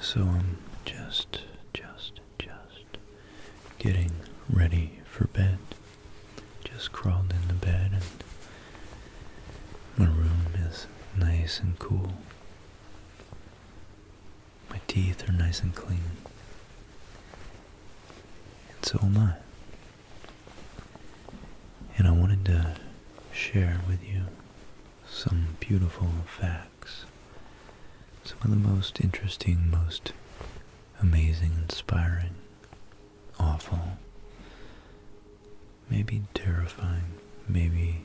So I'm just, just, just getting ready for bed. Just crawled in the bed and my room is nice and cool. My teeth are nice and clean. And so am I. And I wanted to share with you some beautiful facts. Some of the most interesting, most amazing, inspiring, awful, maybe terrifying, maybe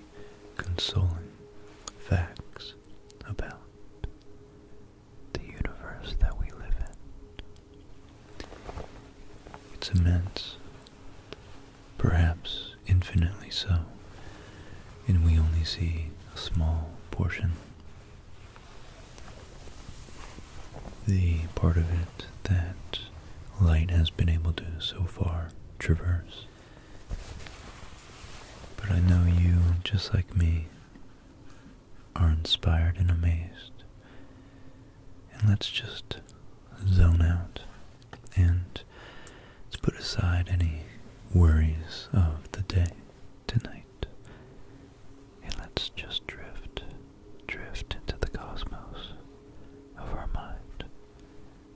consoling facts about the universe that we live in. It's immense, perhaps infinitely so, and we only see a small portion. The part of it that light has been able to so far traverse. But I know you, just like me, are inspired and amazed. And let's just zone out and let's put aside any worries of the day tonight. And let's just drift, drift into the cosmos of our mind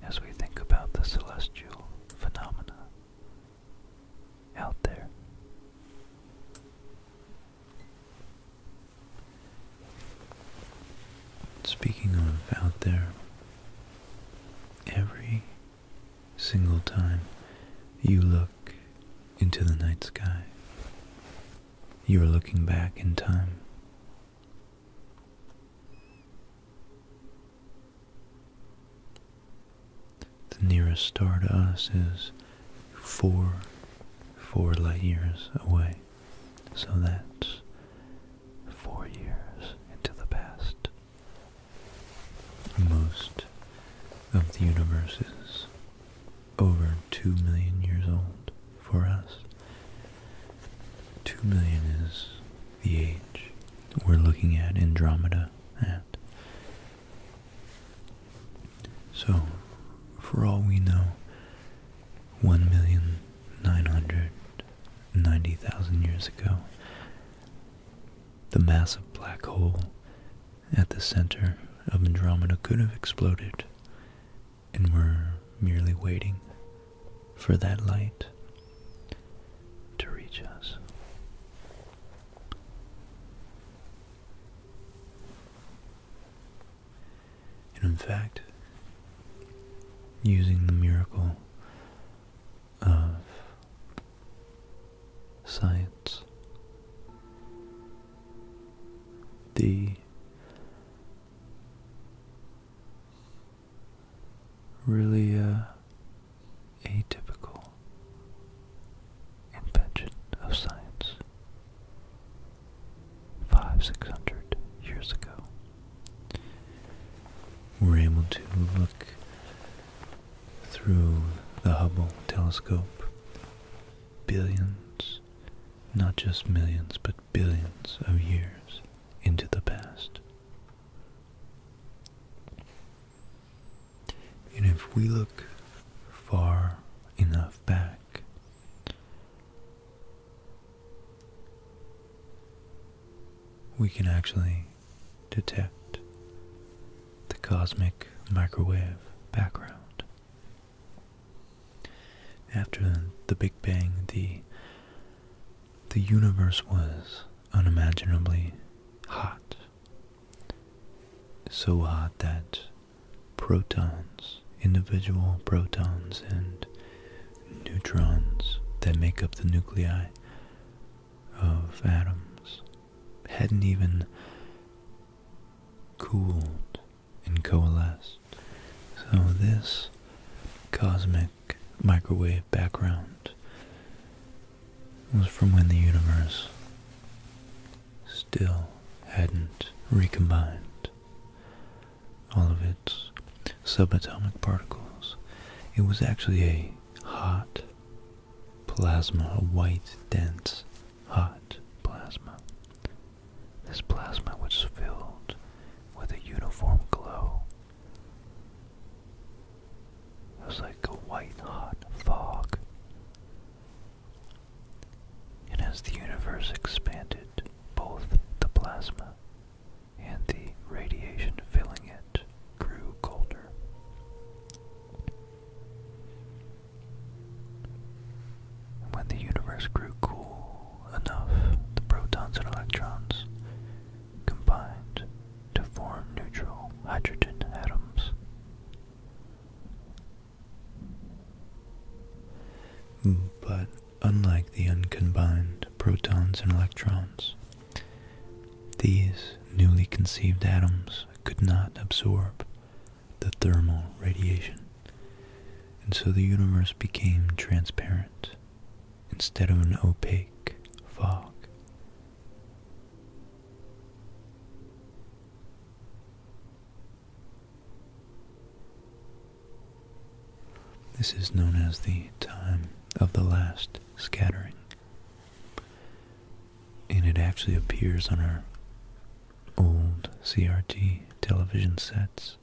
as we think about the celestial phenomena out there. Speaking of out there, every single time you look into the night sky, you are looking back in time the nearest star to us is four, four light years away. So that's four years into the past. Most of the universe is over two million years old for us. Two million is the age we're looking at Andromeda at. So, for all we know, 1,990,000 years ago, the massive black hole at the center of Andromeda could have exploded, and we're merely waiting for that light to reach us. And in fact, using the miracle of science, the really uh, atypical invention of science. Five, six hundred years ago, we're able to look through the Hubble telescope billions, not just millions, but billions of years into the past. And if we look far enough back, we can actually detect the cosmic microwave background. After the Big Bang, the the universe was unimaginably hot, so hot that protons, individual protons and neutrons that make up the nuclei of atoms, hadn't even cooled and coalesced. So this cosmic microwave background was from when the universe still hadn't recombined all of its subatomic particles. It was actually a hot plasma, a white, dense, hot plasma. This plasma was filled with a uniform glow it was like a white hot fog. And as the universe expanded, both the plasma and the radiation filling it grew colder. when the universe grew cool enough, the protons and electrons combined to form neutral hydrogen atoms. Hmm, but unlike the uncombined protons and electrons, these newly conceived atoms could not absorb the thermal radiation, and so the universe became transparent instead of an opaque fog. This is known as the time of the last scattering. And it actually appears on our old CRT television sets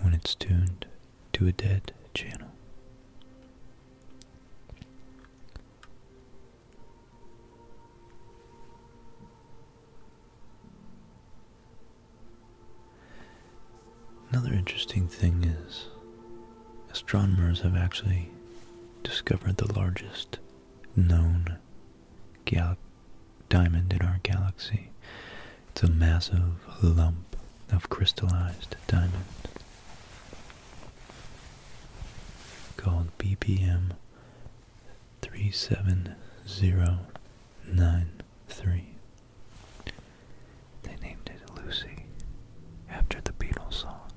when it's tuned to a dead channel. Another interesting thing is astronomers have actually discovered the largest known gal diamond in our galaxy. It's a massive lump of crystallized diamond called BPM 37093. They named it Lucy after the Beatles song,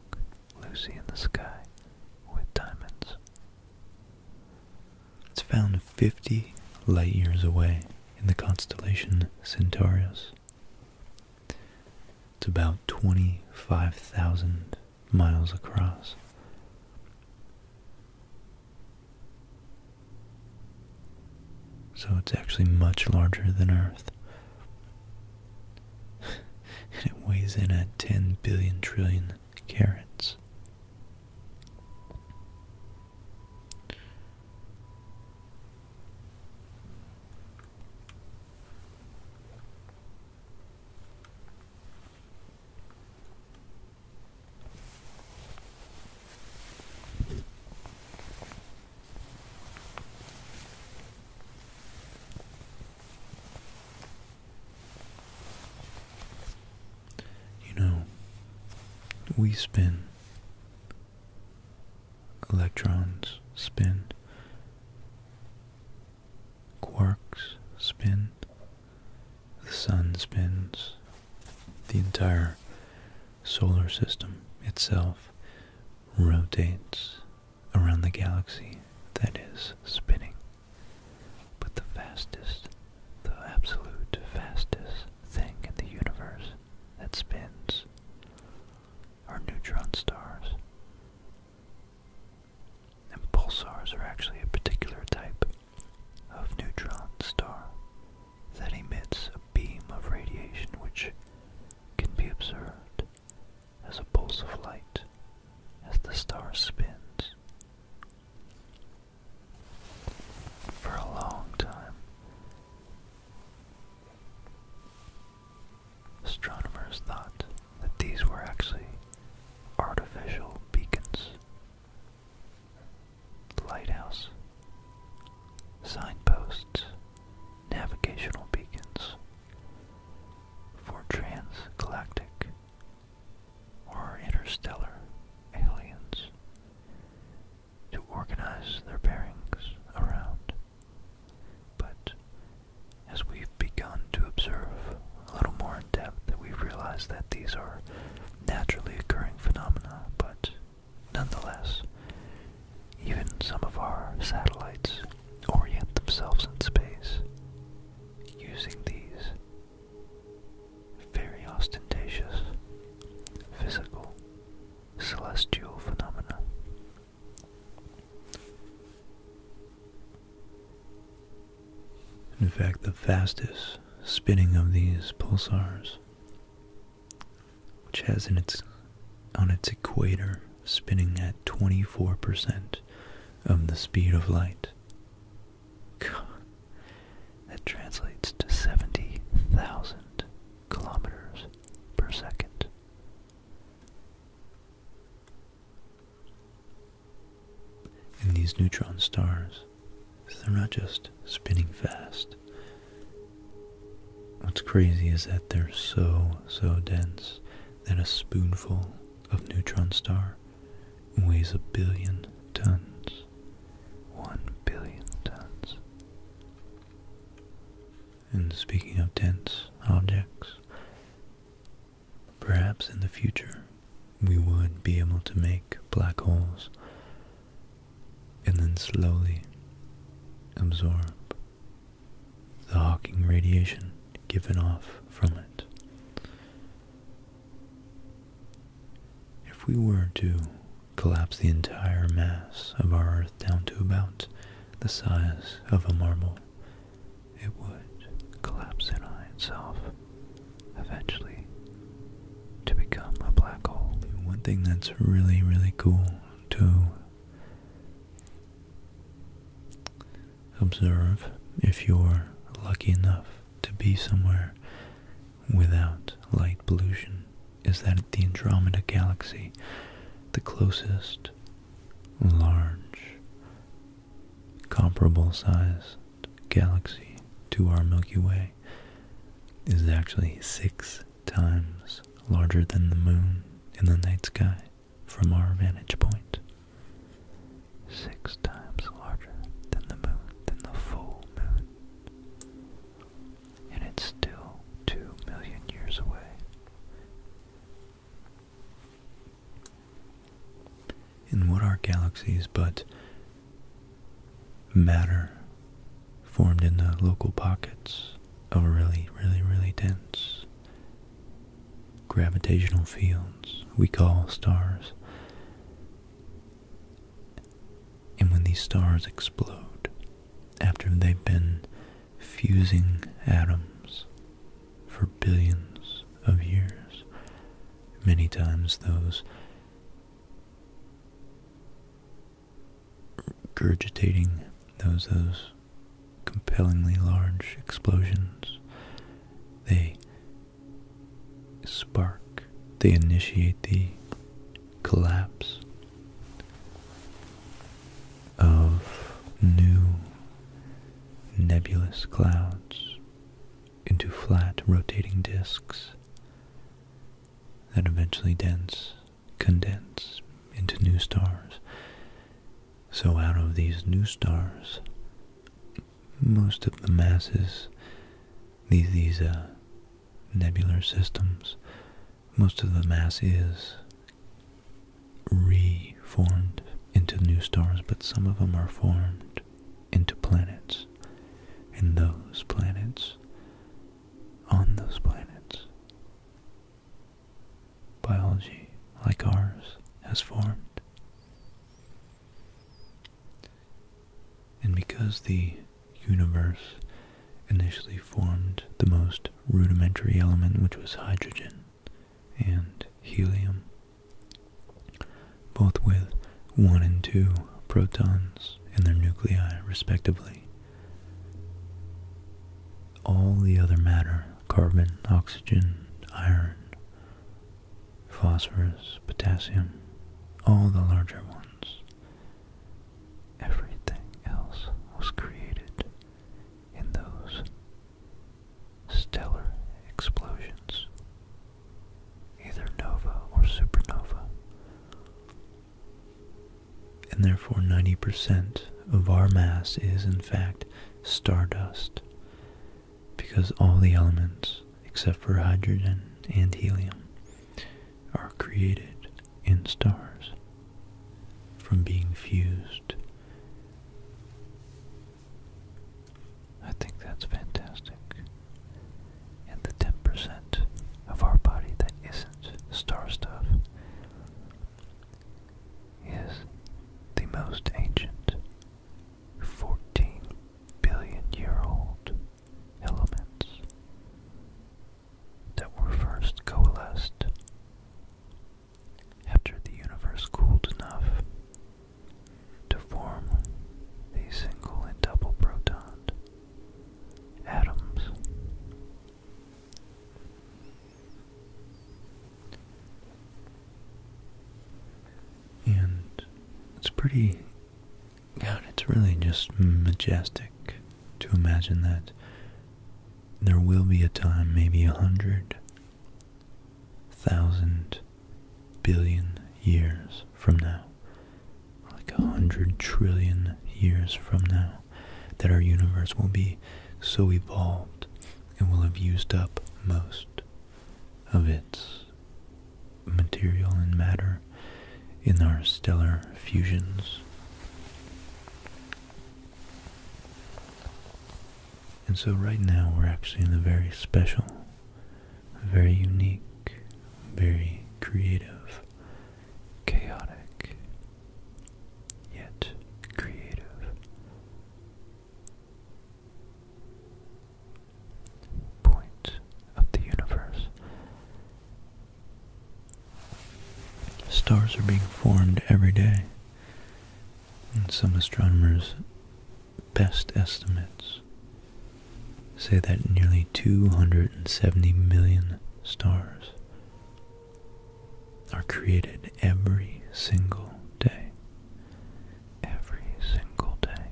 Lucy in the Sky with Diamonds. It's found 50 light years away in the constellation Centaurus. It's about 25,000 miles across. So it's actually much larger than Earth. and it weighs in at 10 billion trillion carats. You know, we spend Electrons spin. Quarks spin. The sun spins. The entire solar system itself rotates around the galaxy that is spinning. But the fastest the absolute fastest thing in the universe that spins are neutron stars. pulsars are actually a particular type of neutron star that emits a beam of radiation which can be observed as a pulse of light as the star spins for a long time. Astronomers thought that these were actually artificial beacons, lighthouse, signposts, navigational beacons for transgalactic or interstellar aliens to organize their bearings around. But as we've begun to observe a little more in depth, we've realized that these are naturally occurring phenomena, but nonetheless, even some of our satellites orient themselves in space using these very ostentatious physical celestial phenomena. In fact, the fastest spinning of these pulsars, which has in its on its equator spinning at 24% of the speed of light. God, that translates to 70,000 kilometers per second. And these neutron stars, they're not just spinning fast. What's crazy is that they're so, so dense that a spoonful of neutron star weighs a billion tons. One billion tons. And speaking of dense objects, perhaps in the future we would be able to make black holes and then slowly absorb the Hawking radiation given off from it. If we were to collapse the entire mass of our Earth down to about the size of a marble, it would collapse in on itself, eventually, to become a black hole. One thing that's really, really cool to observe if you're lucky enough to be somewhere without light pollution is that the Andromeda Galaxy, the closest large comparable sized galaxy to our Milky Way, is actually six times larger than the moon in the night sky from our vantage point. Six times larger than the moon, than the full moon and it's still two million years away. And what are galaxies but matter formed in the local pockets of really, really, really dense gravitational fields we call stars? And when these stars explode, after they've been fusing atoms for billions of years, many times those regurgitating those those compellingly large explosions they spark they initiate the collapse of new nebulous clouds into flat rotating disks that eventually dense condense into new stars. So out of these new stars, most of the masses, these these uh, nebular systems, most of the mass is reformed into new stars, but some of them are formed into planets. And those planets, on those planets, biology like ours has formed. And because the universe initially formed the most rudimentary element, which was hydrogen and helium, both with one and two protons in their nuclei, respectively. All the other matter, carbon, oxygen, iron, phosphorus, potassium, all the larger ones, Everything else was created in those stellar explosions, either nova or supernova. And therefore, 90% of our mass is, in fact, stardust, because all the elements, except for hydrogen and helium, are created in stars from being fused. I think that's fantastic. And the 10% of our body that isn't star stuff is the most ancient 14 billion year old elements that were first coalesced after the universe cooled enough to form the single and double proton atoms. And it's pretty God, it's really just majestic to imagine that there will be a time, maybe a hundred thousand billion years from now, like a hundred trillion years from now, that our universe will be so evolved and will have used up most of its material and matter in our stellar fusions. And so right now we're actually in a very special, very unique, very creative, chaotic, yet creative point of the universe. Stars are being formed every day, and some astronomers' best estimates say that nearly 270 million stars are created every single day. Every single day.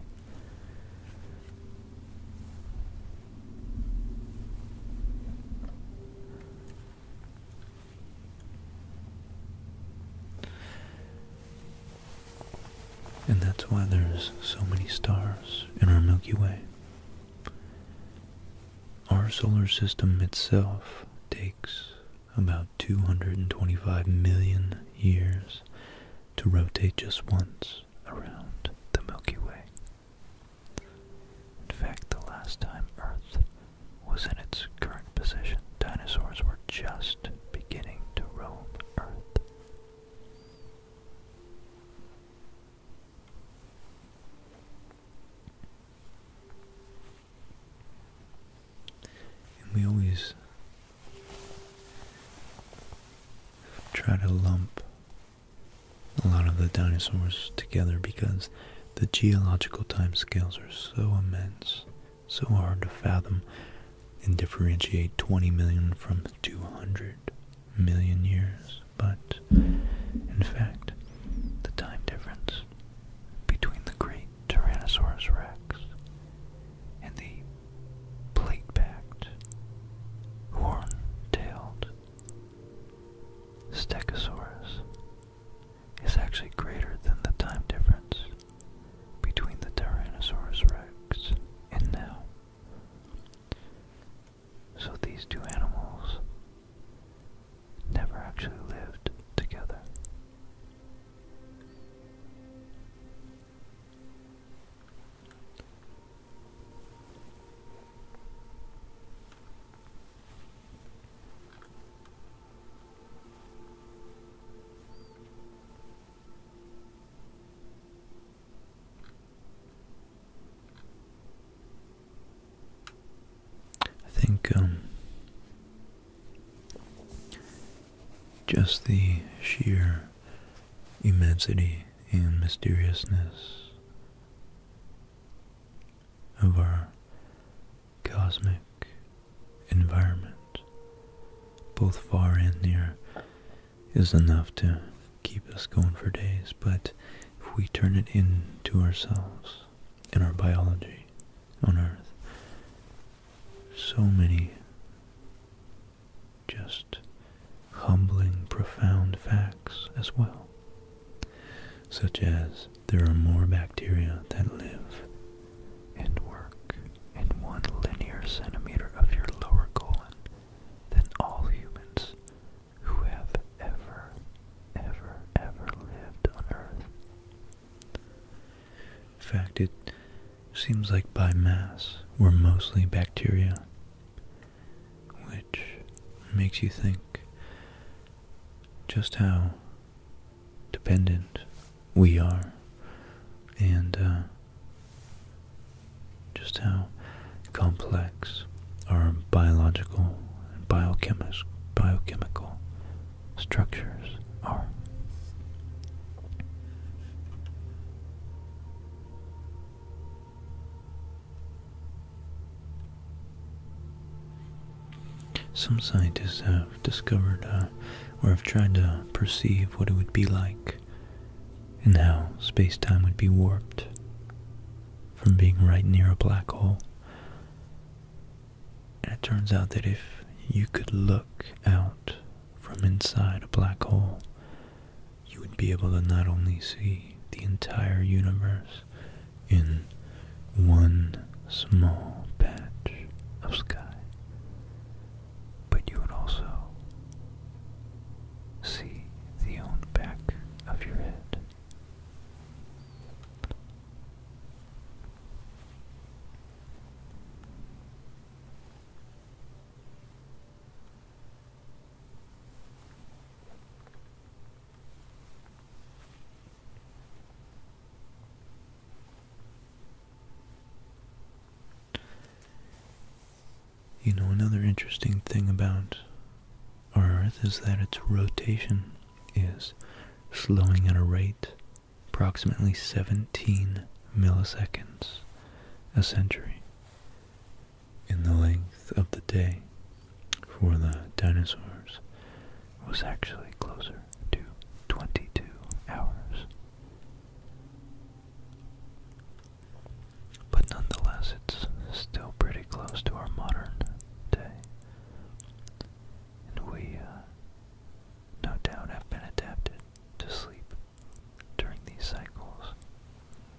And that's why there's so many stars in our Milky Way. Our solar system itself takes about 225 million years to rotate just once around the Milky Way. In fact, the last time Earth was in its current position, dinosaurs were just beginning to roam Earth. we always try to lump a lot of the dinosaurs together because the geological time scales are so immense, so hard to fathom and differentiate 20 million from 200 million years. But in fact, the time difference between the great Tyrannosaurus rex and the plate-backed, horn-tailed Stegosaurus is actually greater than the time difference between the Tyrannosaurus rex and now. So these two animals never actually lived together. I think um, just the sheer immensity and mysteriousness of our cosmic environment, both far and near, is enough to keep us going for days. But if we turn it into ourselves and our biology on Earth, so many just humbling, profound facts as well, such as there are more bacteria that live and work in one linear centimeter of your lower colon than all humans who have ever, ever, ever lived on Earth. In fact, it seems like by mass, we're mostly bacteria which makes you think just how dependent we are and uh, just how complex our biological and biochemical structures are. Some scientists have discovered uh, or have tried to perceive what it would be like and how space-time would be warped from being right near a black hole. And it turns out that if you could look out from inside a black hole, you would be able to not only see the entire universe in one small patch of sky, but you would also see the own back of your head. You know, another interesting thing about our Earth is that its rotation is slowing at a rate approximately 17 milliseconds a century in the length of the day for the dinosaurs was actually closer to 22 hours. But nonetheless, it's still pretty close to our modern day. And we, uh, no doubt, have been adapted to sleep during these cycles.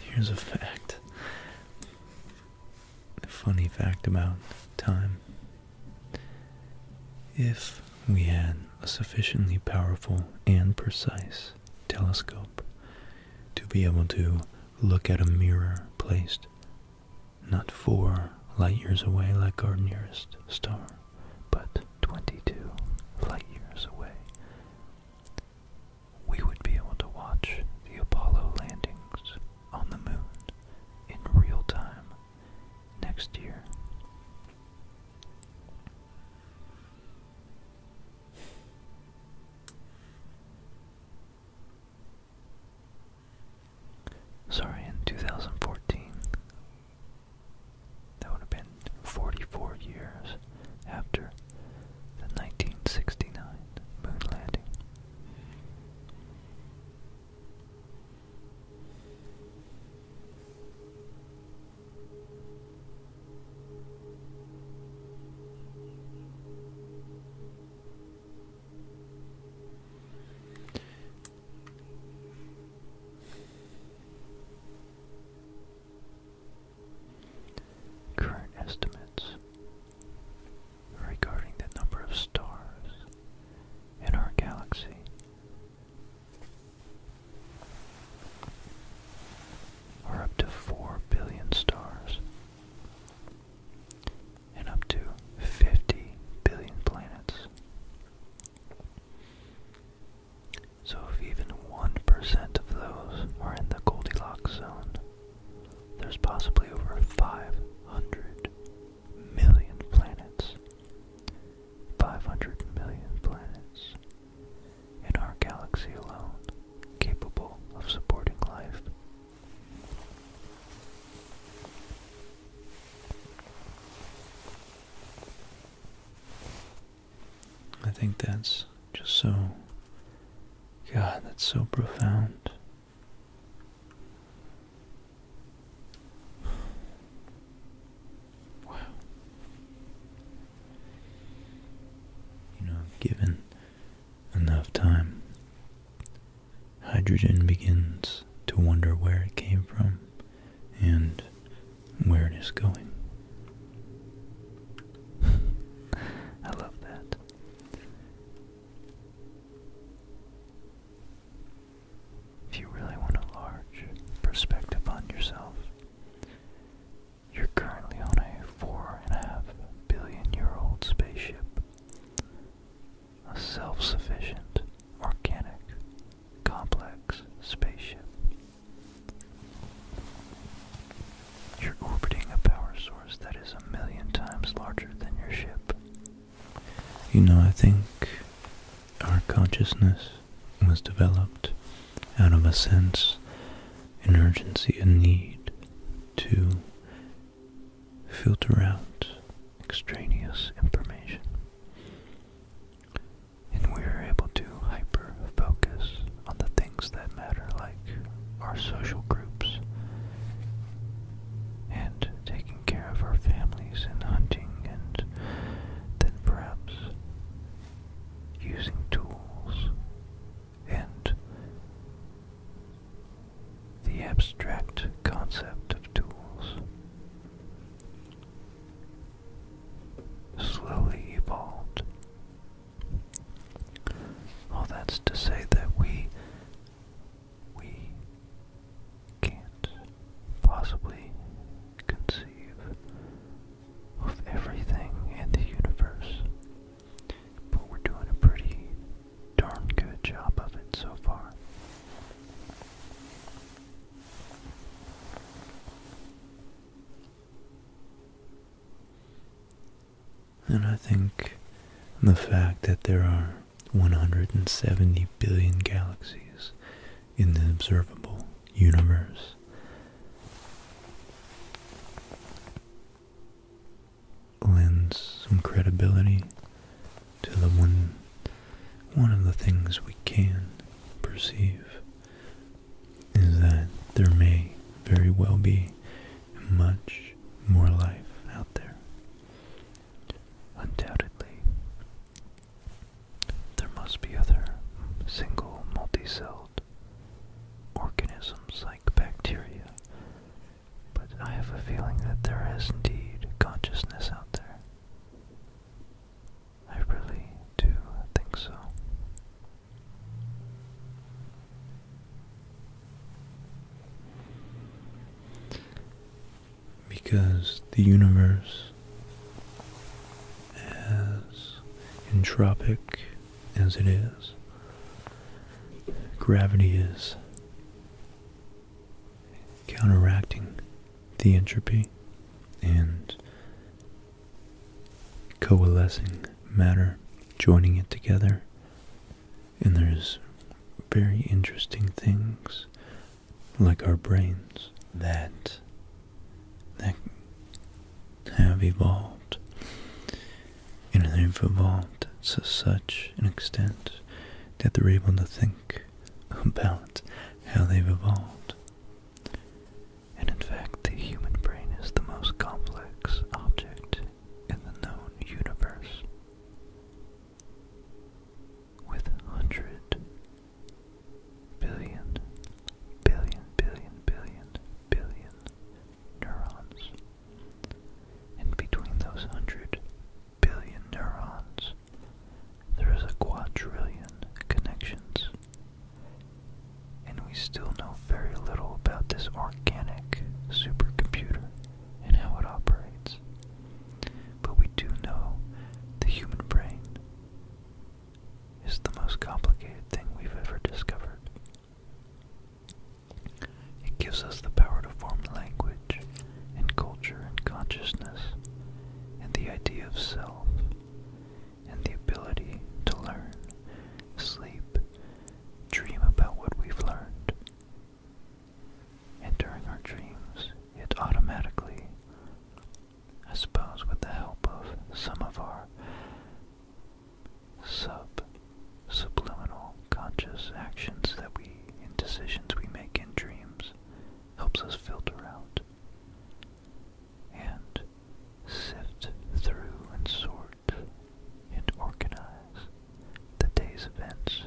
Here's a fact. A funny fact about time. If we had a sufficiently powerful and precise telescope to be able to look at a mirror placed not four light years away like our nearest star, but 22 light years away, we would be able to watch the Apollo landings on the moon in real time next year. Sorry, in 2014. That would have been 44 years after the 1969 moon landing. Current estimates regarding the number of stars in our galaxy. Are up to 4 billion stars and up to 50 billion planets. So if even 1% of those are in the Goldilocks zone, there's possibly over 500 million planets. 500 million planets in our galaxy alone capable of supporting life. I think that's just so, God, that's so profound. Wow. You know, given enough time, hydrogen begins to wonder where it came from and where it is going. I love that. If you really want a large perspective on yourself, you're currently on a four and a half billion year old spaceship. A self sufficient, organic, complex spaceship you're orbiting a power source that is a million times larger than your ship. You know, I think our consciousness was developed out of a sense, an urgency, a need to filter out extraneous information. And we are able to hyper focus on the things that matter, like our social groups, and taking care of our families, and hunting, and then perhaps using tools, and the abstract concept of tools slowly evolved all that's to say that we we can't possibly conceive of everything in the universe. But we're doing a pretty darn good job of it so far. And I think the fact that there are 170 billion galaxies in the observable universe lends some credibility to the one one of the things we can perceive is that there may very well be much more life out there. Undoubtedly, there must be other single multi-celled organisms like bacteria, but I have a feeling that there is indeed consciousness out there. I really do think so. Because the universe, as entropic as it is, gravity is counteracting the entropy and coalescing matter, joining it together. And there's very interesting things like our brains that that have evolved and they've evolved to such an extent that they're able to think about how they've evolved and in fact the human brain is the most complex object in the known universe. With hundred billion, billion, billion, billion, billion neurons. And between those hundred billion neurons, there is a quadrillion connections and we still know very little about this organic supercomputer and how it operates. But we do know the human brain is the most complicated thing we've ever discovered. It gives us the power to form language and culture and consciousness and the idea of self and the ability to learn, sleep, dream about what we've learned. And during our dreams, it automatically, I suppose with the help of some of our sub subliminal conscious actions that we and decisions we make in dreams, helps us filter out. And sift through and sort and organize the day's events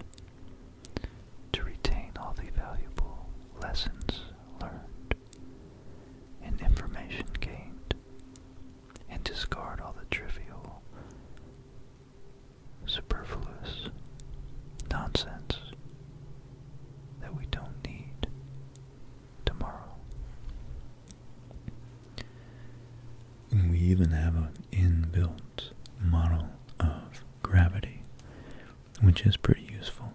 to retain all the valuable lessons learned and information gained and discard all the trivial, superfluous nonsense that we don't need tomorrow. we even have an inbuilt model of gravity, which is pretty useful.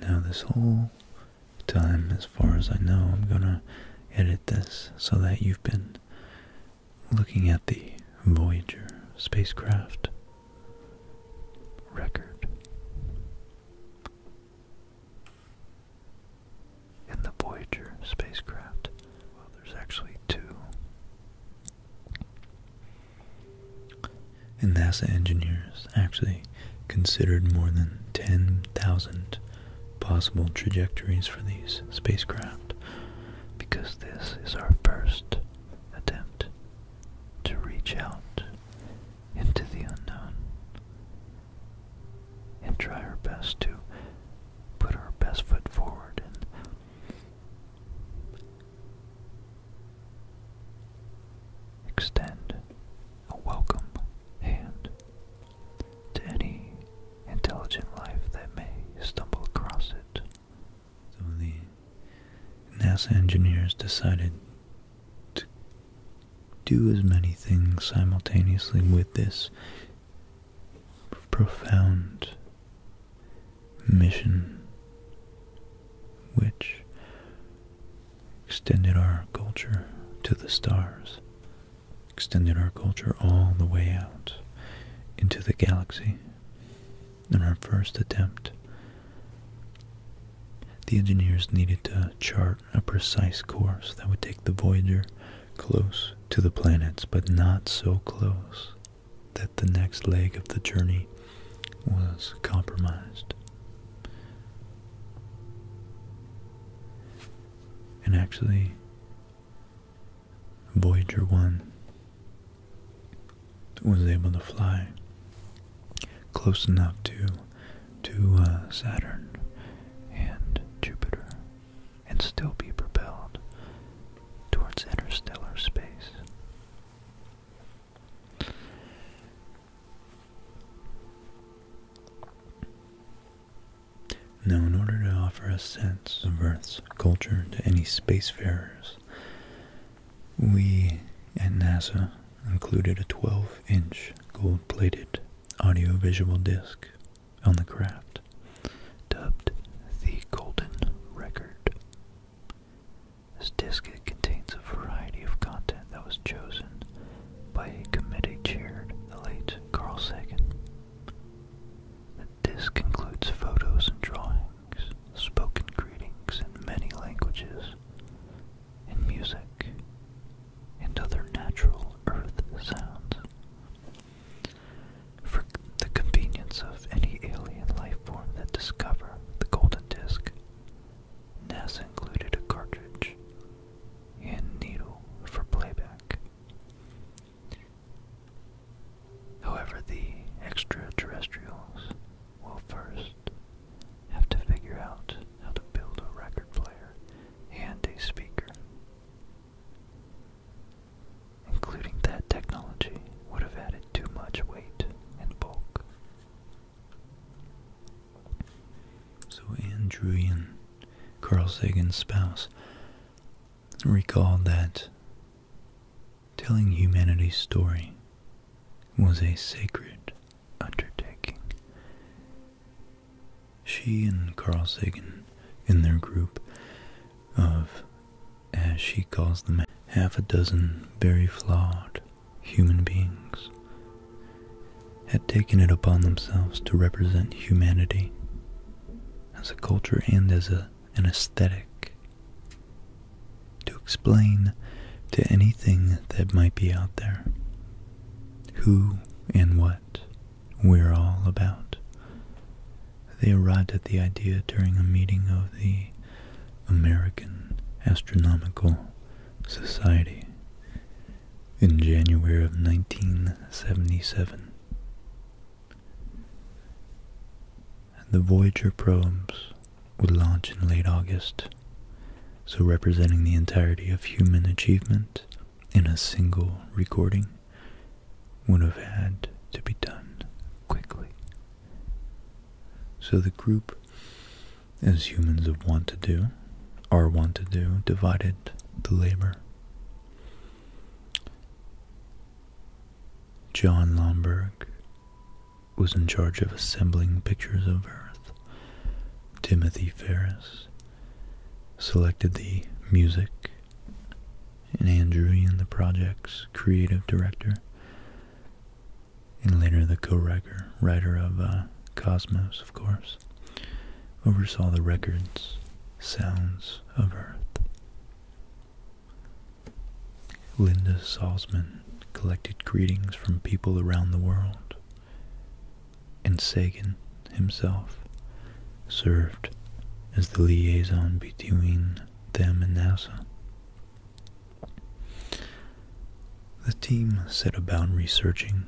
Now this whole time, as far as I know, I'm going to edit this so that you've been looking at the Voyager spacecraft record. In the Voyager spacecraft, well, there's actually two. And NASA engineers actually considered more than 10,000 possible trajectories for these spacecraft because this is our first attempt to reach out into the unknown and try our best to put our best foot forward and extend a welcome hand to any intelligent life that may stumble across it. So the NASA engineers decided to do as many things simultaneously with this profound mission which extended our culture to the stars, extended our culture all the way out into the galaxy in our first attempt. The engineers needed to chart a precise course that would take the Voyager close to the planets, but not so close that the next leg of the journey was compromised. And actually, Voyager 1 was able to fly close enough to to uh, Saturn and Jupiter and still be propelled towards interstellar space. Now, in order to offer a sense of Earth's culture to any spacefarers, we at NASA included a 12-inch gold-plated audio-visual disc on the craft, dubbed the Golden Record. This disc contains a variety of content that was chosen by a committee chaired the late Carl Sagan. The disc includes photos and drawings spoken greetings in many languages, in music, and other natural earth sounds. For the convenience of any alien life form that discover the golden disk, NASA included a cartridge and needle for playback. However, the extraterrestrials we'll first have to figure out how to build a record player and a speaker. Including that technology would have added too much weight and bulk. So Andrew and Carl Sagan's spouse, recalled that telling humanity's story was a sacred undertaking. She and Carl Sagan, in their group of, as she calls them, half a dozen very flawed human beings, had taken it upon themselves to represent humanity as a culture and as a, an aesthetic to explain to anything that might be out there who and what we're all about. They arrived at the idea during a meeting of the American Astronomical Society in January of 1977. The Voyager probes would launch in late August, so representing the entirety of human achievement in a single recording would have had to be done quickly. So the group, as humans of want to do, or want to do, divided the labor. John Lomburg was in charge of assembling pictures of Earth. Timothy Ferris selected the music, and Andrew Ian, the project's creative director, and later the co-writer writer of uh, Cosmos, of course, oversaw the records, Sounds of Earth. Linda Salzman collected greetings from people around the world, and Sagan himself served as the liaison between them and NASA. The team set about researching,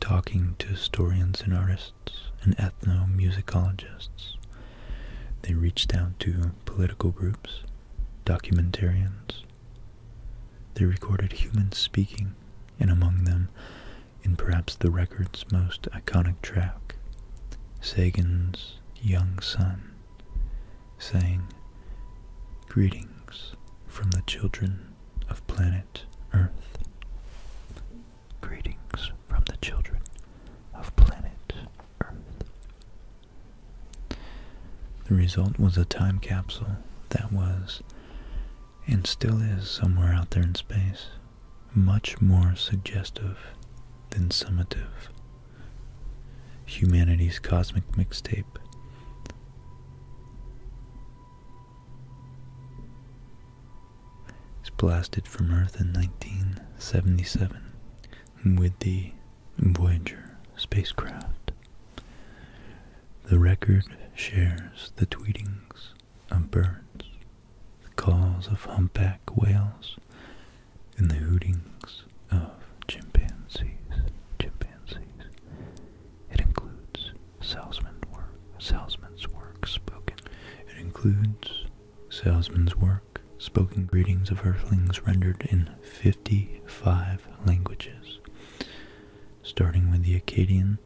talking to historians and artists and ethnomusicologists. They reached out to political groups, documentarians, they recorded humans speaking, and among them, in perhaps the record's most iconic track, Sagan's young son sang, Greetings from the children of planet Earth. Greetings from the children of planet Earth. The result was a time capsule that was, and still is somewhere out there in space, much more suggestive than summative. Humanity's Cosmic Mixtape. It's blasted from Earth in 1977 with the Voyager spacecraft. The record shares the tweetings of birds, the calls of humpback whales, and the hootings of chimpanzees. Chimpanzees. It includes salesmen's work, salesman's work spoken. It includes salesman's work spoken greetings of earthlings rendered in 55 languages starting with the Akkadian,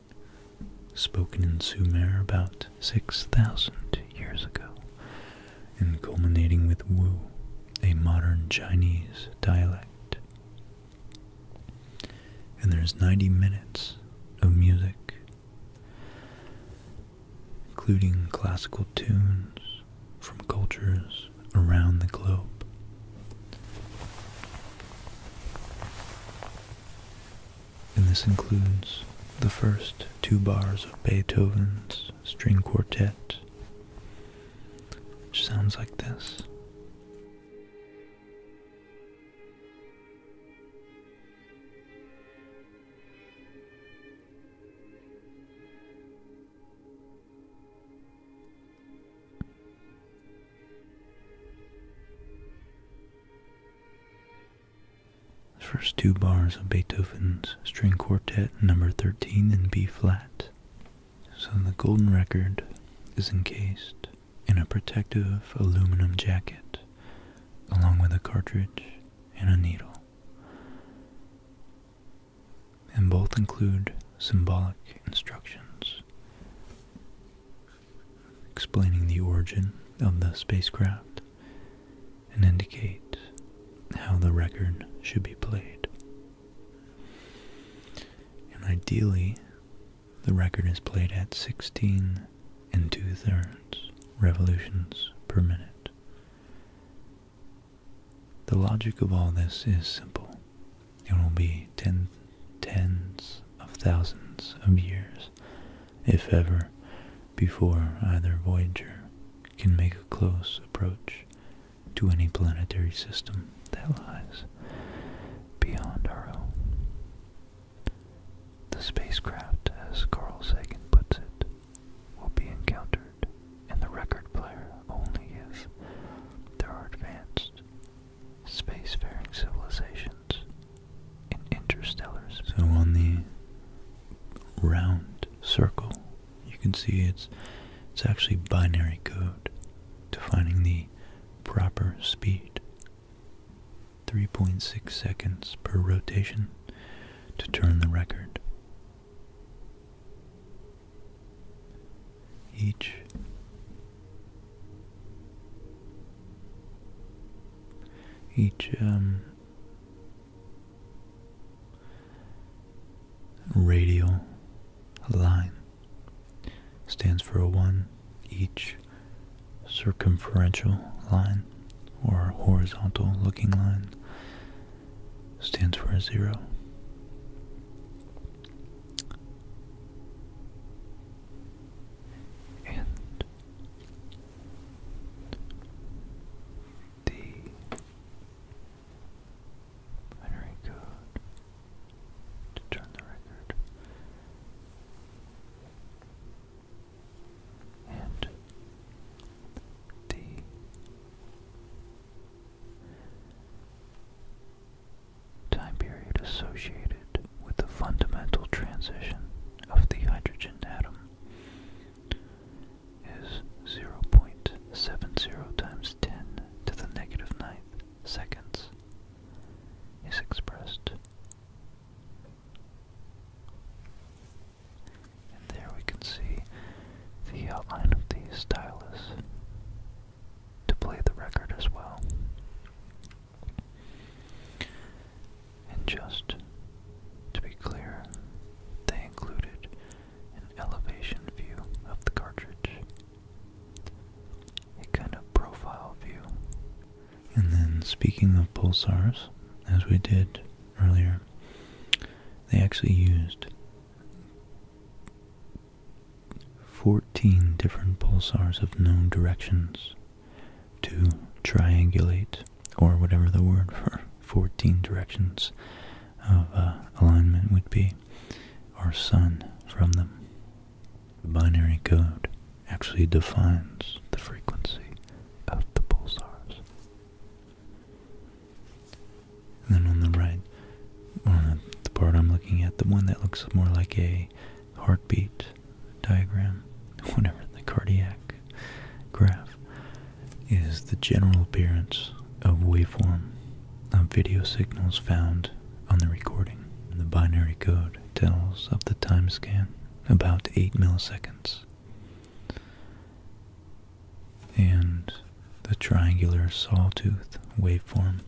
spoken in Sumer about 6,000 years ago, and culminating with Wu, a modern Chinese dialect. And there's 90 minutes of music, including classical tunes, from cultures around the globe. And this includes the first two bars of Beethoven's string quartet, which sounds like this. The first two bars of Beethoven's String Quartet number 13 in B flat. So the golden record is encased in a protective aluminum jacket along with a cartridge and a needle and both include symbolic instructions explaining the origin of the spacecraft and indicate how the record should be played. And ideally, the record is played at 16 and two thirds revolutions per minute. The logic of all this is simple. It will be ten, tens of thousands of years, if ever, before either Voyager can make a close approach to any planetary system that lies beyond our own. The spacecraft, as Carl Sagan puts it, will be encountered and the record player only if there are advanced space-faring civilizations in interstellar. So on the round circle, you can see it's it's actually binary code defining the proper speed. 3.6 seconds per rotation to turn the record each each um, radial line stands for a one each circumferential line or horizontal looking line stands for a zero and the binary code to turn the record and the time period associated with the fundamental transition of the hydrogen atom is 0.70 times 10 to the negative ninth seconds is expressed. And there we can see the outline of the stylus to play the record as well. And just to be clear, they included an elevation view of the cartridge, a kind of profile view. And then, speaking of pulsars, as we did earlier, they actually used 14 different pulsars of known directions to triangulate, or whatever the word for 14 directions of uh, alignment would be, our sun from them. The binary code actually defines the frequency of the pulsars. And then on the right, on the part I'm looking at, the one that looks more like a heartbeat diagram, whatever, the cardiac graph, is the general appearance of waveform of video signals found on the recording. the binary code tells of the time scan, about 8 milliseconds. And the triangular sawtooth waveform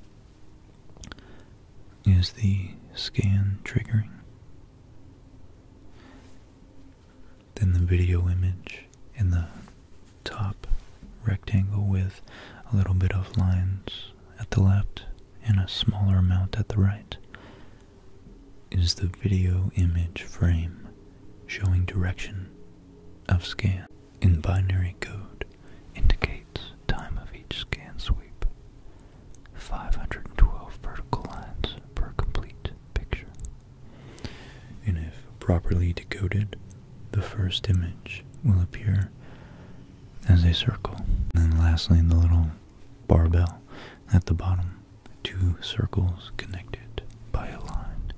is the scan triggering. Then the video image in the top rectangle with a little bit of lines at the left and a smaller amount at the right is the video image frame showing direction of scan in binary code indicates time of each scan sweep. 512 vertical lines per complete picture. And if properly decoded, the first image will appear as a circle. And lastly, the little barbell at the bottom, two circles connected by a line,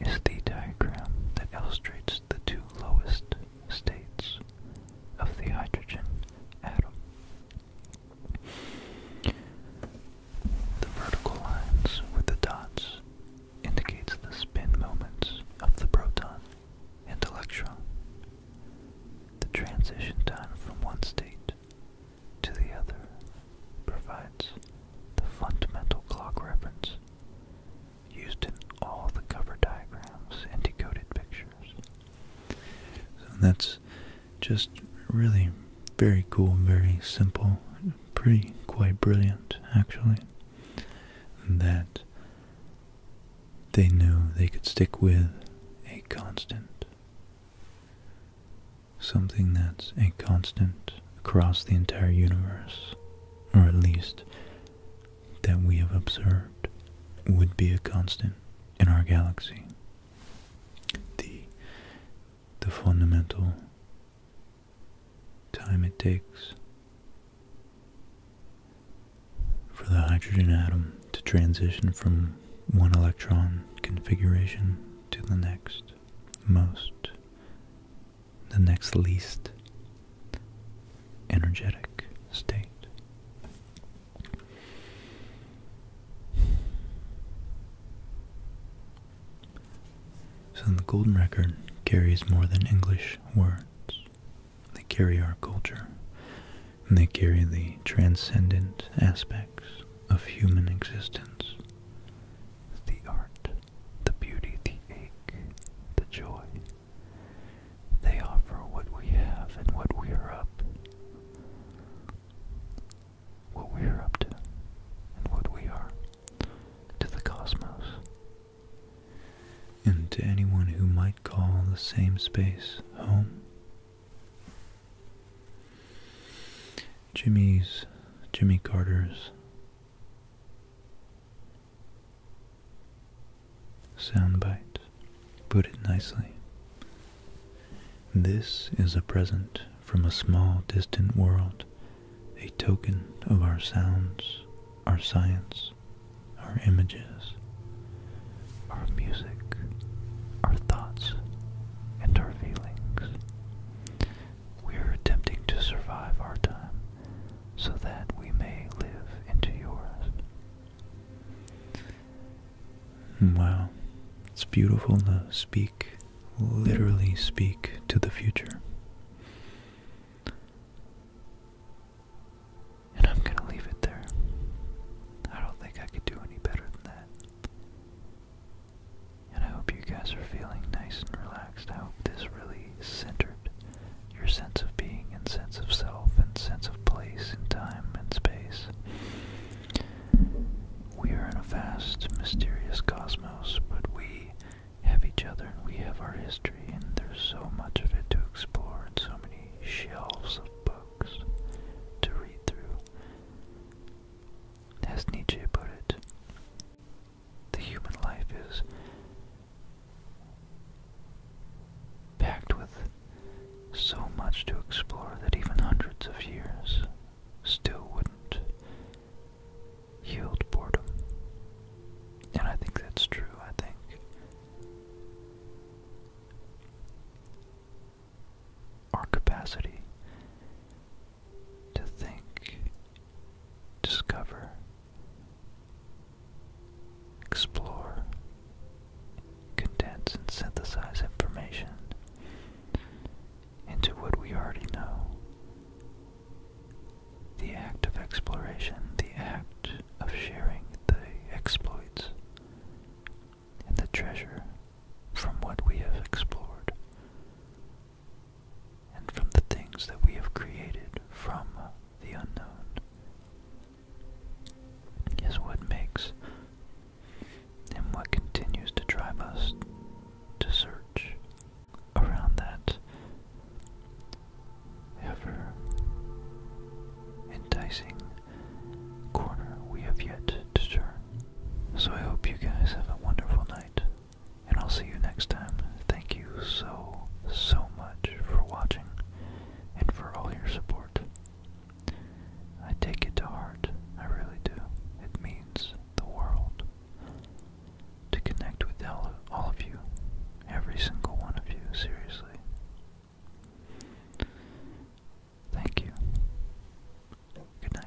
is the diagram that illustrates the two lowest states of the hydrogen atom. The vertical lines with the dots indicates the spin moments of the proton and electron. The transition time from one state to the other provides the fundamental clock reference used in all the cover diagrams and decoded pictures. So that's just really very cool, very simple, pretty quite brilliant actually. That they knew they could stick with a constant. Something that's a constant across the entire universe, or at least that we have observed would be a constant in our galaxy. The, the fundamental time it takes for the hydrogen atom to transition from one electron configuration to the next most the next least energetic state. So the Golden Record carries more than English words. They carry our culture, and they carry the transcendent aspects of human existence. The art, the beauty, the ache, the joy, they offer what we have and what we are up. What we are up to and what we are to the cosmos. And to anyone who might call the same space home. Jimmy's, Jimmy Carter's, soundbite put it nicely. This is a present from a small distant world, a token of our sounds, our science, our images, our music, our thoughts, and our feelings. We are attempting to survive our time so that we may live into yours. Wow, it's beautiful to speak, literally speak to the future. And I'm going to leave it there. I don't think I could do any better than that. And I hope you guys are feeling nice and relaxed. I hope this really centered your sense of being and sense of self and sense of place in time and space. We are in a vast, mysterious cosmos, but we have each other and we have our history, and there's so much of it to explore and so many shelves of books to read through. As Nietzsche put it, the human life is packed with so much to explore that even hundreds of years still wouldn't yield boredom. And I think that's true. I think our capacity to think discover, explore, condense, and synthesize information into what we already know. The act of exploration, the act of sharing the exploits and the treasure from what we have explored and from the things that we have created from the unknown is what makes and what continues to drive us to search around that ever enticing corner we have yet to turn. So I hope you guys have a wonderful night, and I'll see you next time. Thank you you so, so much for watching and for all your support. I take it to heart, I really do. It means the world to connect with all, all of you, every single one of you, seriously. Thank you. Good night.